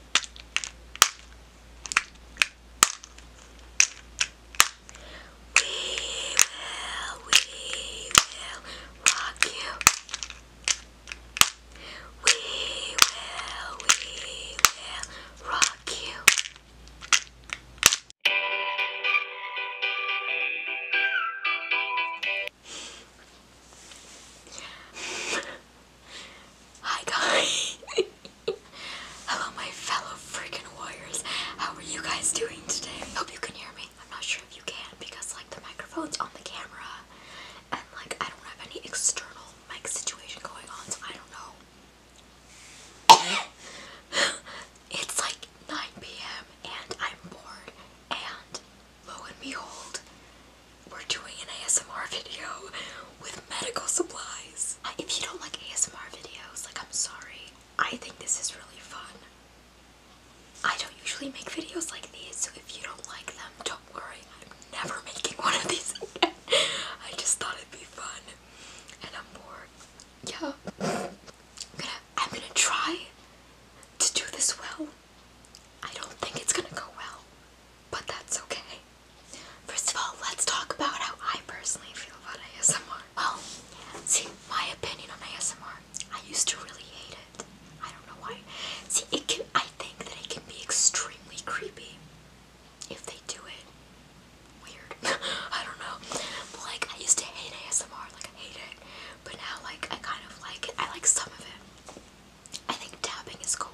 will, we will rock you. We will, we will rock you. Hi guys! Hello my fellow freaking warriors. How are you guys doing today? Hope you can hear me. I'm not sure if you can because like the microphone's on the camera and like I don't have any external mic situation going on so I don't know. it's like 9 p.m. and I'm bored and lo and behold we're doing an ASMR video with medical supplies. Uh, if you don't like ASMR videos, like I'm sorry. I think this is really fun. I don't usually make videos like these, so if you don't like them, don't worry. I'm never making one of these again. I just thought it'd be fun. And I'm bored. Yeah. I'm gonna, I'm gonna try to do this well. I don't think it's gonna go well, but that's okay. First of all, let's talk about how I personally feel about ASMR. Well, see, my opinion on ASMR, I used to really hate it. I don't know why. See, it can, I think that it can be extremely creepy if they do it weird. I don't know. But like, I used to hate ASMR, like I hate it. But now, like, I kind of like it. I like some of it. I think tapping is cool.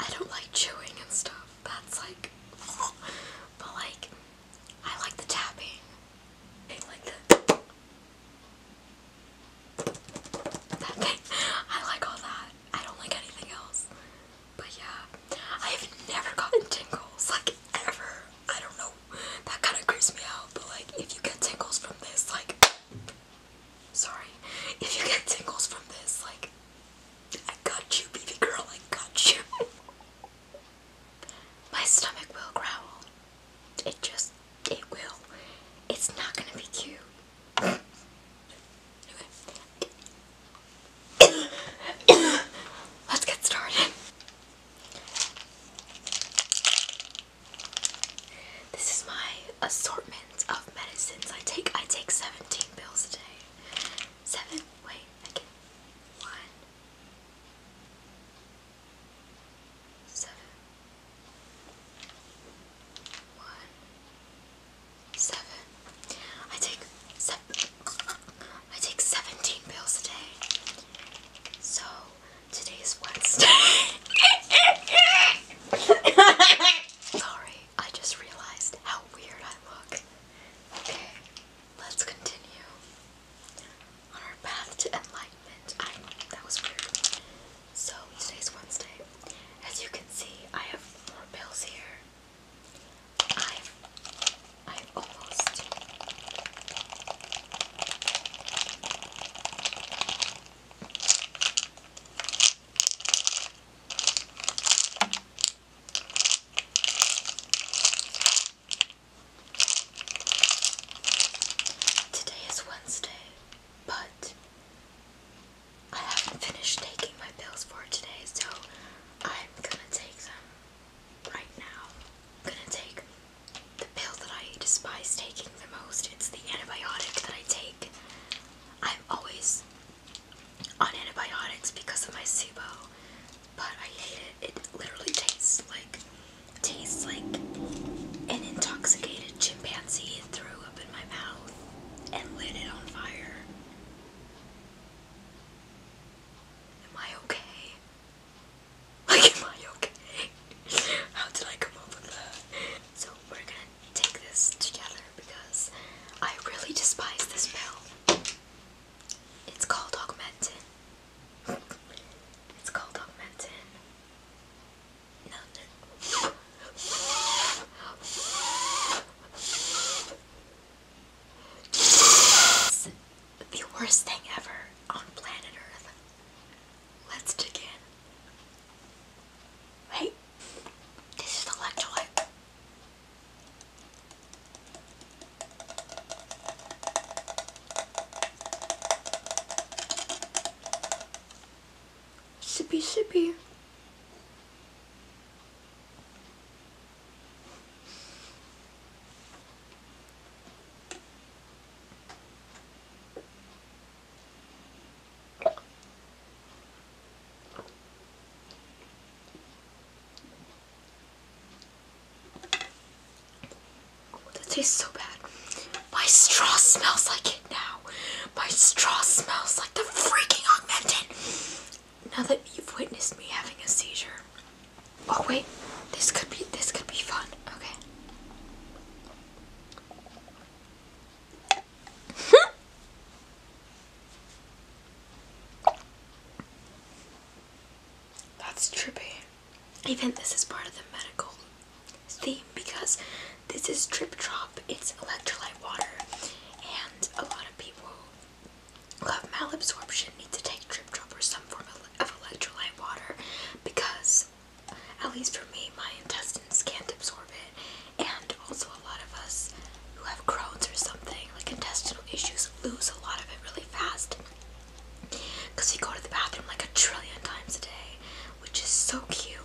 I don't like chewing and stuff. That's like, but like, I like the tapping. I like the. That I like all that. I don't like anything else. But yeah, I have never gotten tingles, like ever. I don't know. That kind of creeps me out. But like, if you get tingles from this, like, sorry. If you get tingles from this, like, I got you, baby girl, I got you. My stomach will growl. It just, it will. It's not gonna be cute. Anyway. Let's get started. This is my assortment of medicines I take. I take 17 pills a day. Seven, wait, I get one, seven, one, seven. I take seven, I take 17 pills a day. So, today is Wednesday. Sorry, I just realized how weird I look. Okay, let's continue on our path to enlightenment. that was weird. So today's Wednesday. As you can see, I have more pills here. I've I've almost Today is Wednesday, but I haven't finished taking my pills for today, so I'm gonna take them right now. I'm gonna take the pill that I despise taking the most. It's the antibiotic that I take. I'm always on antibiotics because of my SIBO, but I hate it. It literally tastes like tastes like an intoxicated chimpanzee threw up in my mouth and lit it on fire. Am I okay? Like, am I okay? How did I come up with that? So, we're gonna take this together because I really despise this pill. It's called Augmentin. It's called Augmentin. Nothing. the worst thing ever on planet Earth. Let's dig Wait. This is the electrolyte. Sippy, sippy. That tastes so bad. My straw smells like it now. My straw smells like the freaking augmented. Now that you've witnessed me having a seizure. Oh wait, this could be this could be fun. Okay. That's trippy. Even this is part of the medical theme because this is drip Drop. It's electrolyte water, and a lot of people who have malabsorption need to take drip Drop or some form of electrolyte water because, at least for me, my intestines can't absorb it. And also, a lot of us who have Crohn's or something, like intestinal issues, lose a lot of it really fast because we go to the bathroom like a trillion times a day, which is so cute.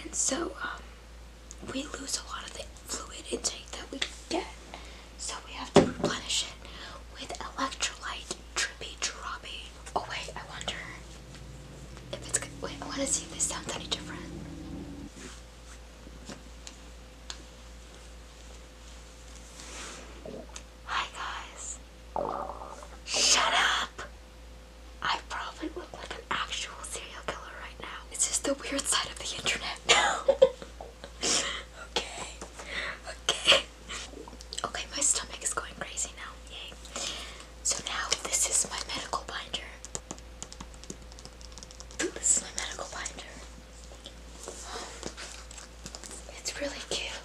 And so, um, we lose a lot of the fluid intake that we get, so we have to replenish it with electrolyte drippy droppy. Oh, wait, I wonder if it's good. Wait, I want to see if this sounds any different. Hi guys. Shut up! I probably look like an actual serial killer right now. It's just the weird side of the internet. okay. Okay. Okay, my stomach is going crazy now. Yay. So now this is my medical binder. This is my medical binder. It's really cute.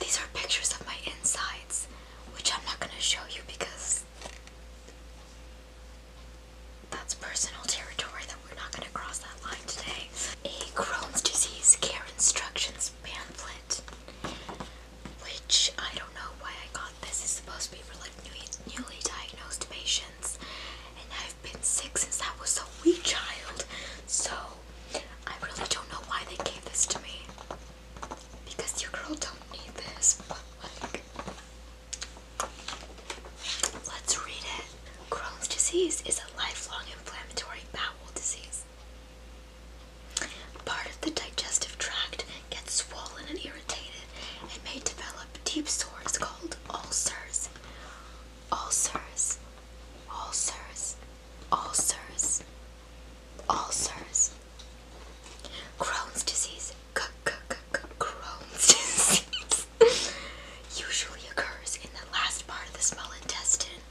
These are pictures of my insides, which I'm not going to show you because that's personal territory that we're not going to cross that line today. A Crohn's disease care instructions pamphlet, which I don't know why I got this is supposed to be for like newly, diagnosed patients, and I've been sick since I was a wee child, so I really don't know why they gave this to me. Because your girl don't need this, let's read it. Crohn's disease is a lifelong inflammatory bowel disease. Part of the digestive tract gets swollen and irritated and may develop deep sores called ulcers. Ulcers, ulcers, ulcers, ulcers. Crohn's disease, c -c -c Crohn's disease, usually occurs in the last part of the small intestine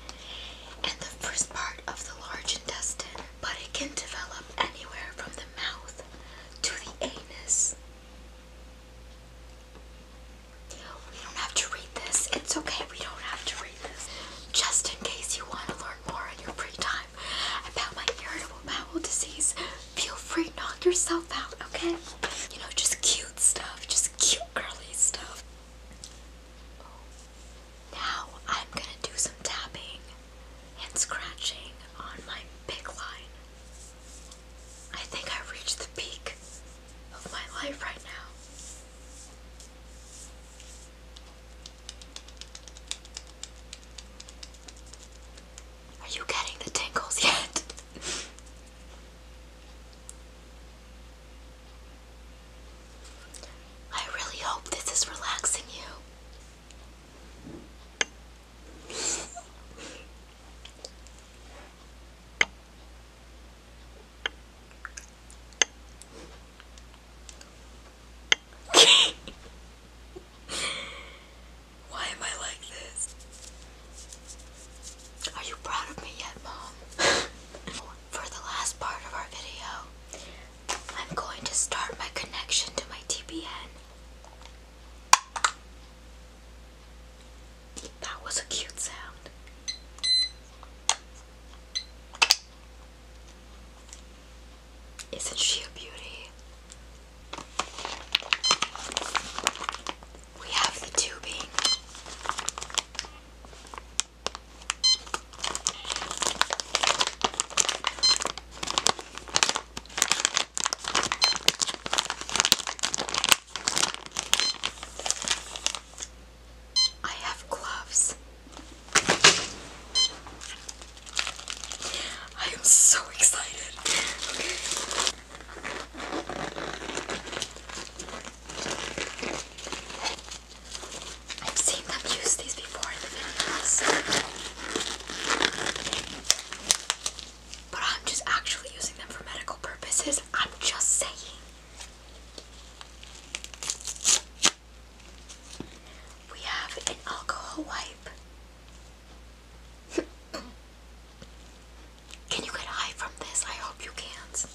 and the first part of the large intestine, but it can develop anywhere from the mouth to the anus. We don't have to read this. It's okay, we don't have to read this. Just in case you want to learn more in your free time about my irritable bowel disease, feel free to knock yourself out, okay? You know, just cute stuff, just cute girly stuff. Now I'm gonna do some tapping and scratching on my big line. I think I reached the peak of my life right now. Are you getting the tingles yet? I really hope this is relaxing you. Why am I like this? Are you proud of me yet, Mom? For the last part of our video, I'm going to start my connection to my TPN. That was a cute sound. Isn't she a beauty? We have the tubing. I have gloves. I am so excited. I've seen them use these before in videos but I'm just actually using them for medical purposes. I'm just saying. We have an alcohol wipe. can you get high from this? I hope you can't.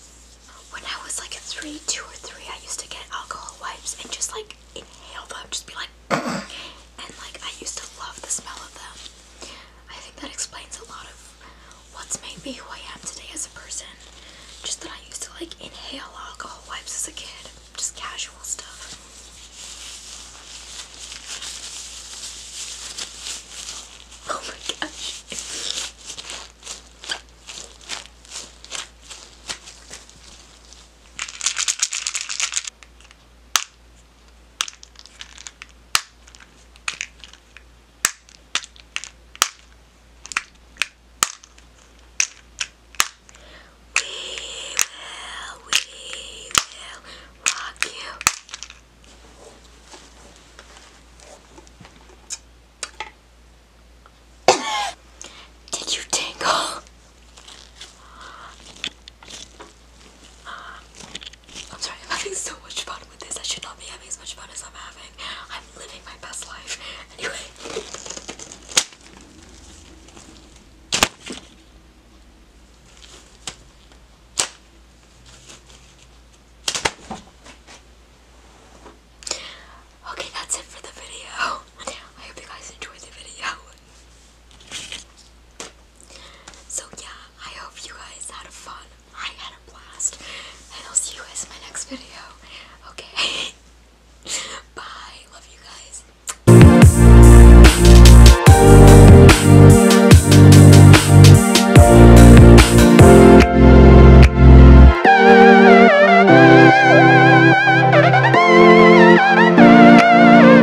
When I was like 3, 2 or 3, I used to get alcohol wipes and just like inhale them, just be like. and like I used to love the smell of them. I think that explains a lot of what's made me who I am today as a person. Just that I used to like inhale alcohol wipes as a kid, just casual stuff. Oh my gosh. We will, we will rock you. Did you tingle? I'm sorry, I'm having so much fun with this. I should not be having as much fun as I'm having. I'm living my best life. Anyway. Okay, that's it for the video. I hope you guys enjoyed the video. So yeah, I hope you guys had fun. I had a blast. And I'll see you guys in my next video. Okay. Bye. Love you guys.